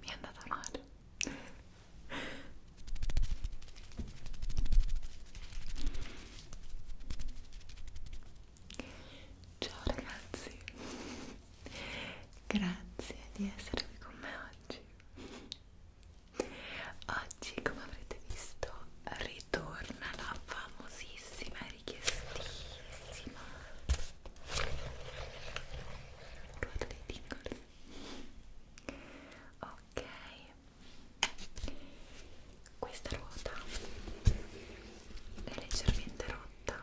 Mi è andata male. Ciao ragazzi, grazie di essere qui con me oggi. Oggi, come avrete visto, ritorna la famosissima e richiestissima ruota dei tingoli. Ok, questa ruota è leggermente rotta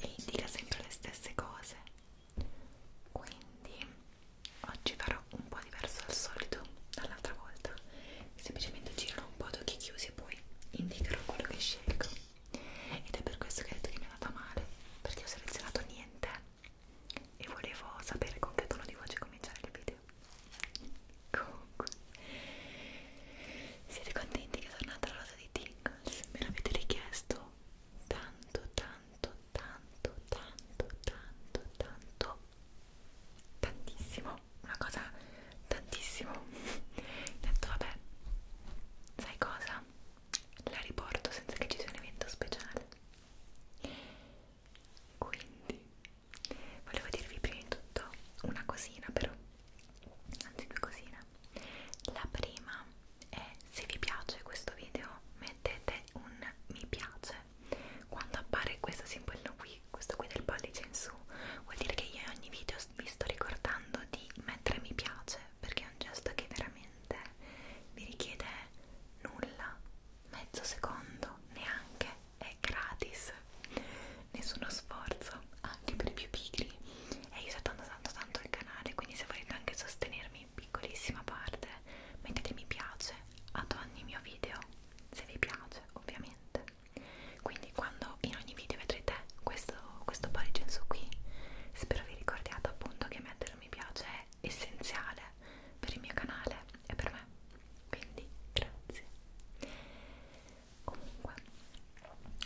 e indica sempre le stesse cose. Quindi oggi farò un po' diverso al solito dall'altra volta semplicemente giro un po' ad occhi chiusi e poi indicherò quello che scelgo ed è per questo che ho detto che mi è andata male perché ho selezionato niente e volevo sapere con che tono di voce cominciare il video comunque siete contenti che è tornata la rosa di Tingles? me l'avete richiesto tanto tanto tanto tanto tanto tanto tantissimo, una cosa tantissimo. Ho detto vabbè, sai cosa? La riporto senza che ci sia un evento speciale. Quindi volevo dirvi prima di tutto una cosina però, anzi due cosine. La prima è se vi piace questo video mettete un mi piace quando appare questo simbolino qui, questo qui del pollice in su, vuol dire che io in ogni video vi sto ricordando di mettere mi piace, perché è un gesto che veramente vi richiede nulla, mezzo secondo, neanche, è gratis, nessuno sforzo, anche per i più pigri, e io sto tanto tanto tanto il canale, quindi se volete anche sostenermi in piccolissima parte, mettete mi piace ad ogni mio video se vi piace voce ovviamente quindi quando in ogni video vedrete questo, questo pollicenzo qui spero vi ricordiate appunto che mettere un mi piace è essenziale per il mio canale e per me quindi grazie comunque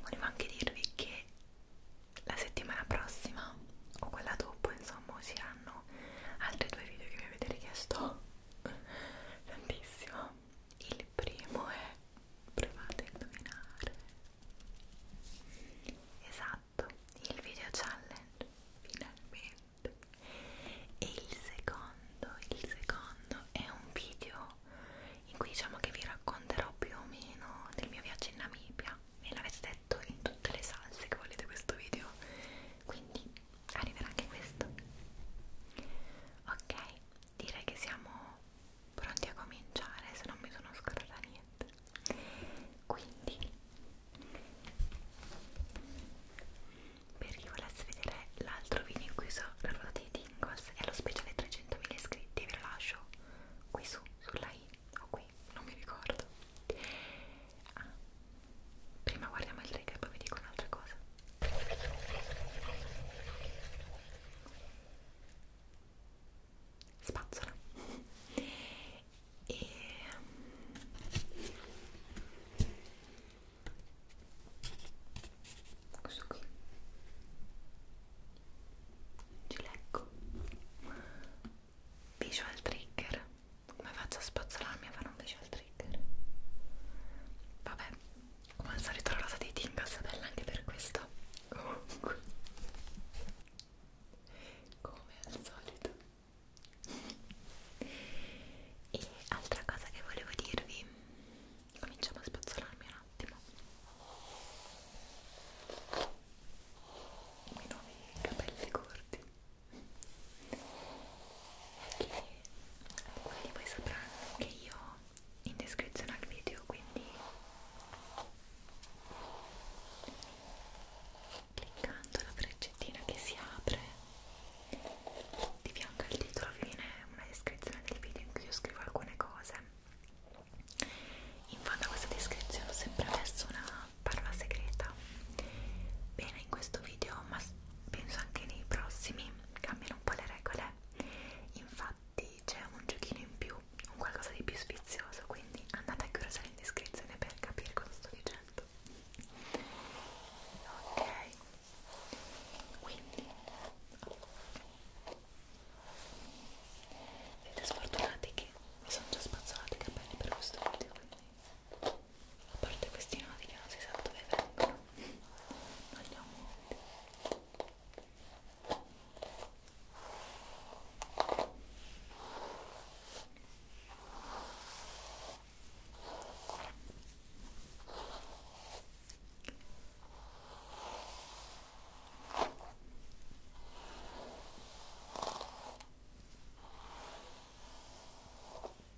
volevo anche dirvi che la settimana prossima o quella dopo insomma usciranno altri due video che mi avete richiesto tantissimo il primo è provate a indovinare esatto il video challenge finalmente e il secondo il secondo è un video in cui diciamo che vi racconterò più o meno del mio viaggio in Namibia me l'avete detto in tutte le salse che volete questo video quindi arriverà anche questo ok direi che siamo pronti a cominciare se non mi sono scordata niente quindi per chi volesse vedere l'altro video in cui so la ruota dei tingles e lo speciale 300.000 iscritti ve lo lascio qui su sulla i o qui non mi ricordo Ah, prima guardiamo il trigger e poi vi dico un'altra cosa. Spazzola. E... Mm, questo qui. Ci leggo. Visual trigger come faccio a spazzolarmi a fare invece il trigger? Vabbè, come al solito la rosa dei Tingles è bella anche per questo. Comunque, come al solito. E altra cosa che volevo dirvi, cominciamo a spazzolarmi un attimo. I nuovi capelli corti che alcuni di voi sapranno che io in descrizione al video quindi cliccando la freccettina che si apre di fianco al titolo viene una descrizione del video in cui io scrivo alcune cose in fondo a questa descrizione ho sempre messo una parola segreta bene in questo video ma penso anche nei prossimi cambiano un po' le regole infatti c'è un giochino in più un qualcosa di più sfizioso quindi andate a curiosare in descrizione per capire cosa sto dicendo ok quindi siete sfortunati che mi sono già spazzolati i capelli per questo video quindi a parte questi nodi che non si sa dove vengono andiamo Ecco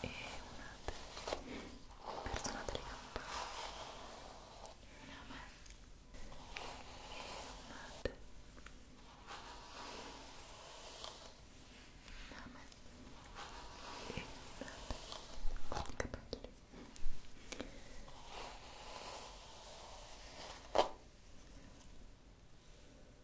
e una persona delle campane una me e una te una me e una te con i capelli e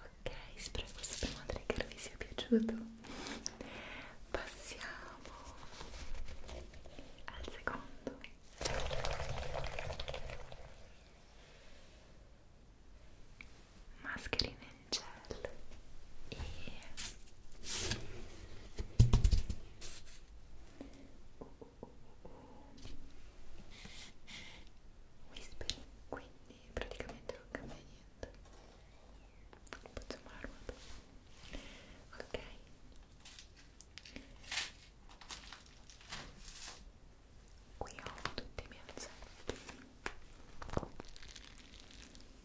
Ok, spero che questo primo trigger vi sia piaciuto. Passiamo al secondo. Mascherine in gel e Whispering, quindi praticamente non cambia niente. Facciamo la ruota. Ok. Qui ho tutti i miei oggetti.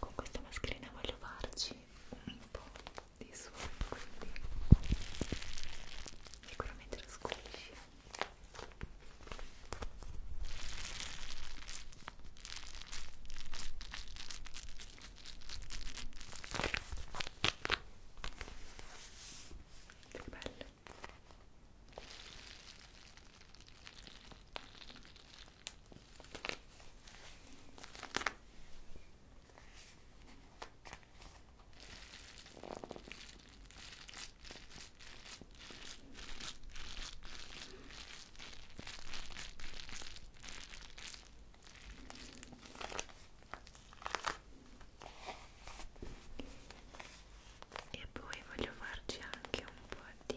con questa mascherina voglio farci un po' di suono quindi sicuramente lo squisci che bello e poi voglio farci anche un po' di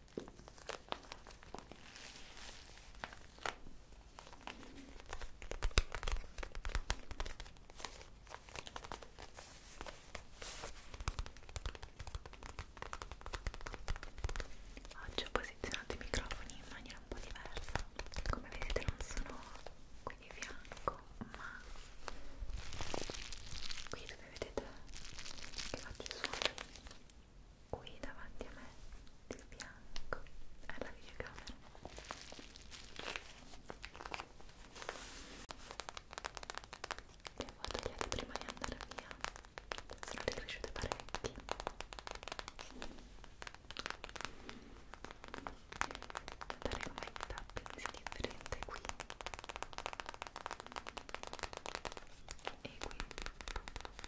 Oggi ho posizionato i microfoni in maniera un po' diversa, come vedete non sono qui di fianco, ma qui dove vedete che faccio i suoni qui davanti a me di fianco alla videocamera le avevo tagliate prima di andare via sono ricresciute parecchi dare come tapping si differente qui e qui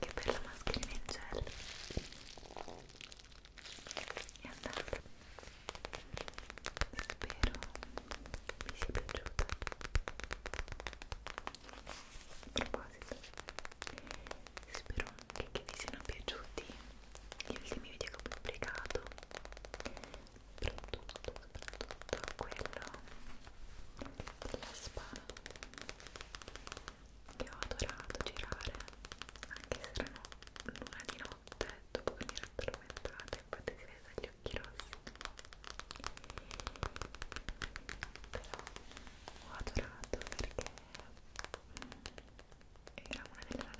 anche per la mascherina in gel è andata spero vi sia piaciuta a proposito spero anche che vi siano piaciuti gli ultimi video che ho pubblicato soprattutto, soprattutto quello della spa che ho adorato girare anche se erano l'una di notte dopo che mi ero addormentata infatti si vede dagli occhi rossi però ho adorato perché mm, era una delle rare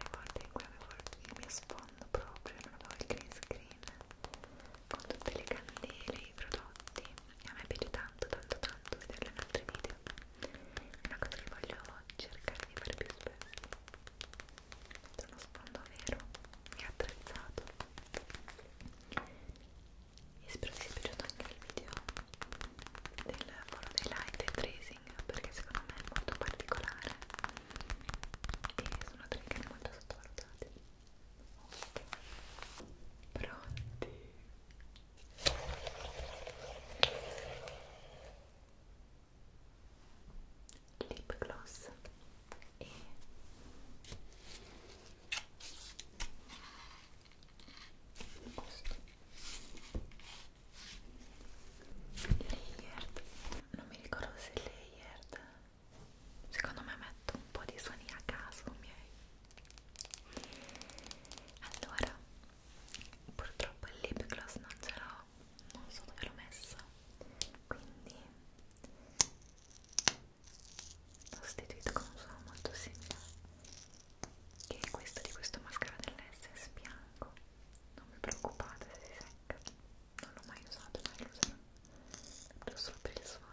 volte in cui avevo il mio sfondo proprio non avevo il green screen con tutte le candele, i prodotti e a me piace tanto tanto tanto vederle in altri video è una cosa che voglio cercare di fare più spesso è uno sfondo vero e attrezzato e spero vi sia piaciuto anche il video del volo dei light e tracing perché secondo me è molto particolare e sono tecniche molto sottovalutate Pronti? Lip gloss e questo layered non mi ricordo se layered secondo me metto un po' di suoni a caso miei allora purtroppo il lip gloss non ce l'ho non so dove l'ho messo quindi l'ho sostituito con un suono molto simile che è questo di questo mascara dell'SS bianco non mi preoccupate se si secca non l'ho mai usato, mai lo userò solo per il suono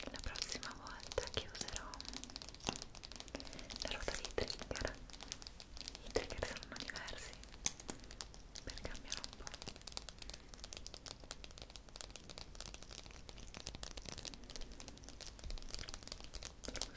La prossima volta che userò la ruota di trigger i trigger saranno diversi per cambiare un po' Ecco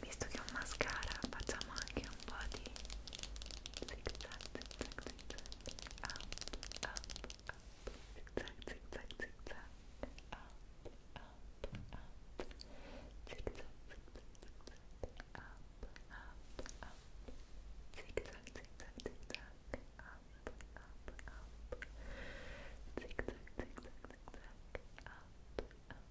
visto che è un mascara facciamo anche un po' di zig zag zig zag zig zag up up up zig zag zig zag zig zag up up up zig zag zig zag up up up zig zag zig zag zig zag up up up zig zag zig zag zig zag up up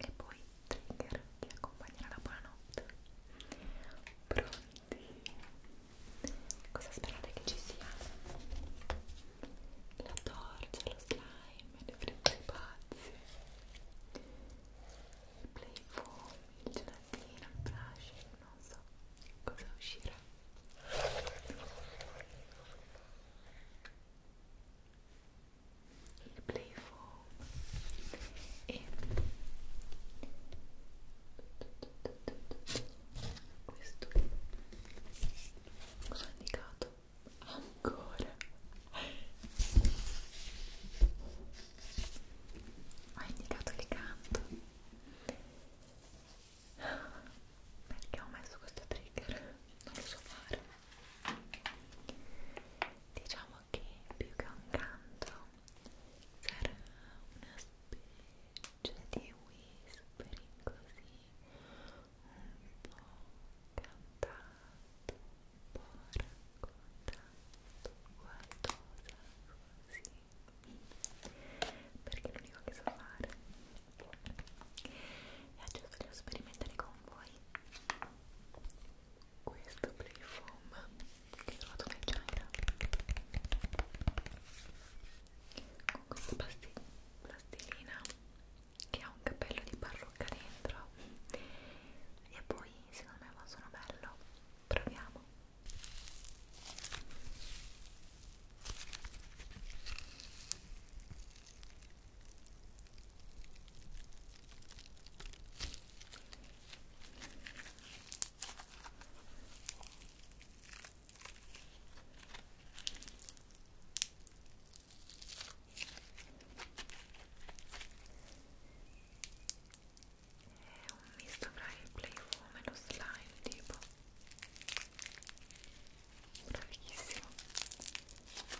e poi trigger che accompagnerà la buonanotte pronti? cosa sperate che ci sia? la torcia, lo slime, le frizze pazze il play foam, il gelatino, il brush, non so cosa uscirà il playfoam e questo cosa ho indicato? ancora ho indicato il canto perché ho messo questo trigger? non lo so fare Diciamo che più che un canto sarà una specie di whispering così un po' cantato, un po' raccontato qualcosa così perché l'unico che so fare è giusto sperimentare con voi questo play foam che ho trovato nel China con questa pasti plastilina che ha un cappello di parrucca dentro e poi secondo me va sono bello proviamo è un misto fra il playfoam e lo slime tipo bravissimo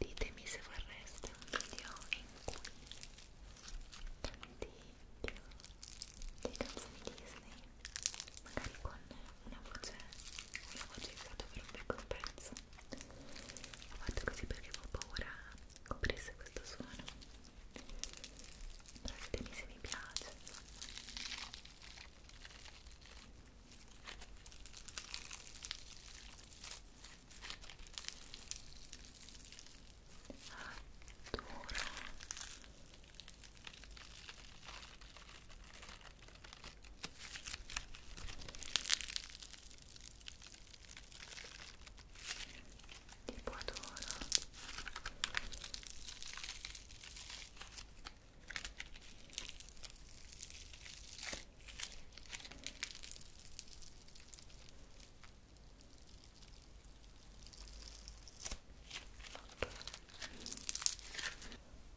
Ditemi se vorreste un video in cui tanti di canzoni Disney, magari con una voce, una voce usata per un piccolo pezzo. Ho fatto così perché ho paura coprisse questo suono però ditemi se mi piace adoro tipo adoro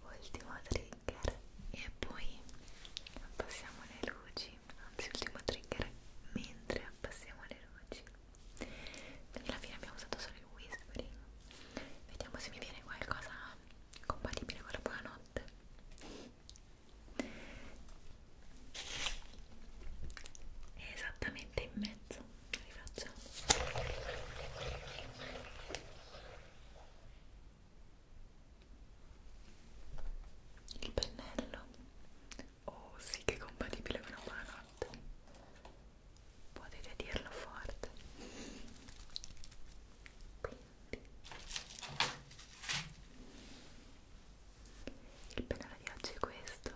ultimo trigger e poi passiamo alle luci anzi ultimo trigger mentre abbassiamo le luci quindi alla fine abbiamo usato solo il whispering vediamo se mi viene qualcosa compatibile con la buonanotte è esattamente in mezzo rifacciamo il pennello Oh sì che è compatibile con una buonanotte Potete dirlo forte Quindi Il penale di oggi è questo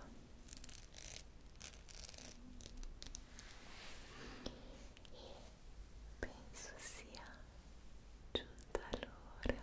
e penso sia giunta l'ora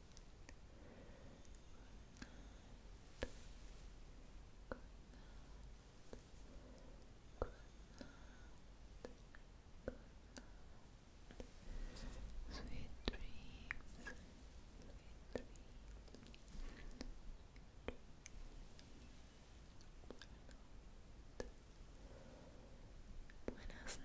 Sweet dreams. Sweet dreams. Buenas noches. Buenas noches.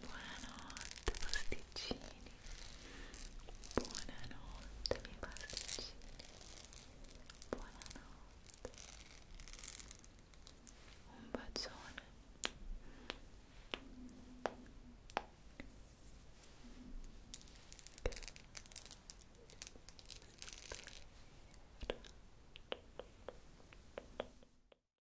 Buonanotte pasticcini. Buonanotte miei pasticcini. Buonanotte. Un bacione.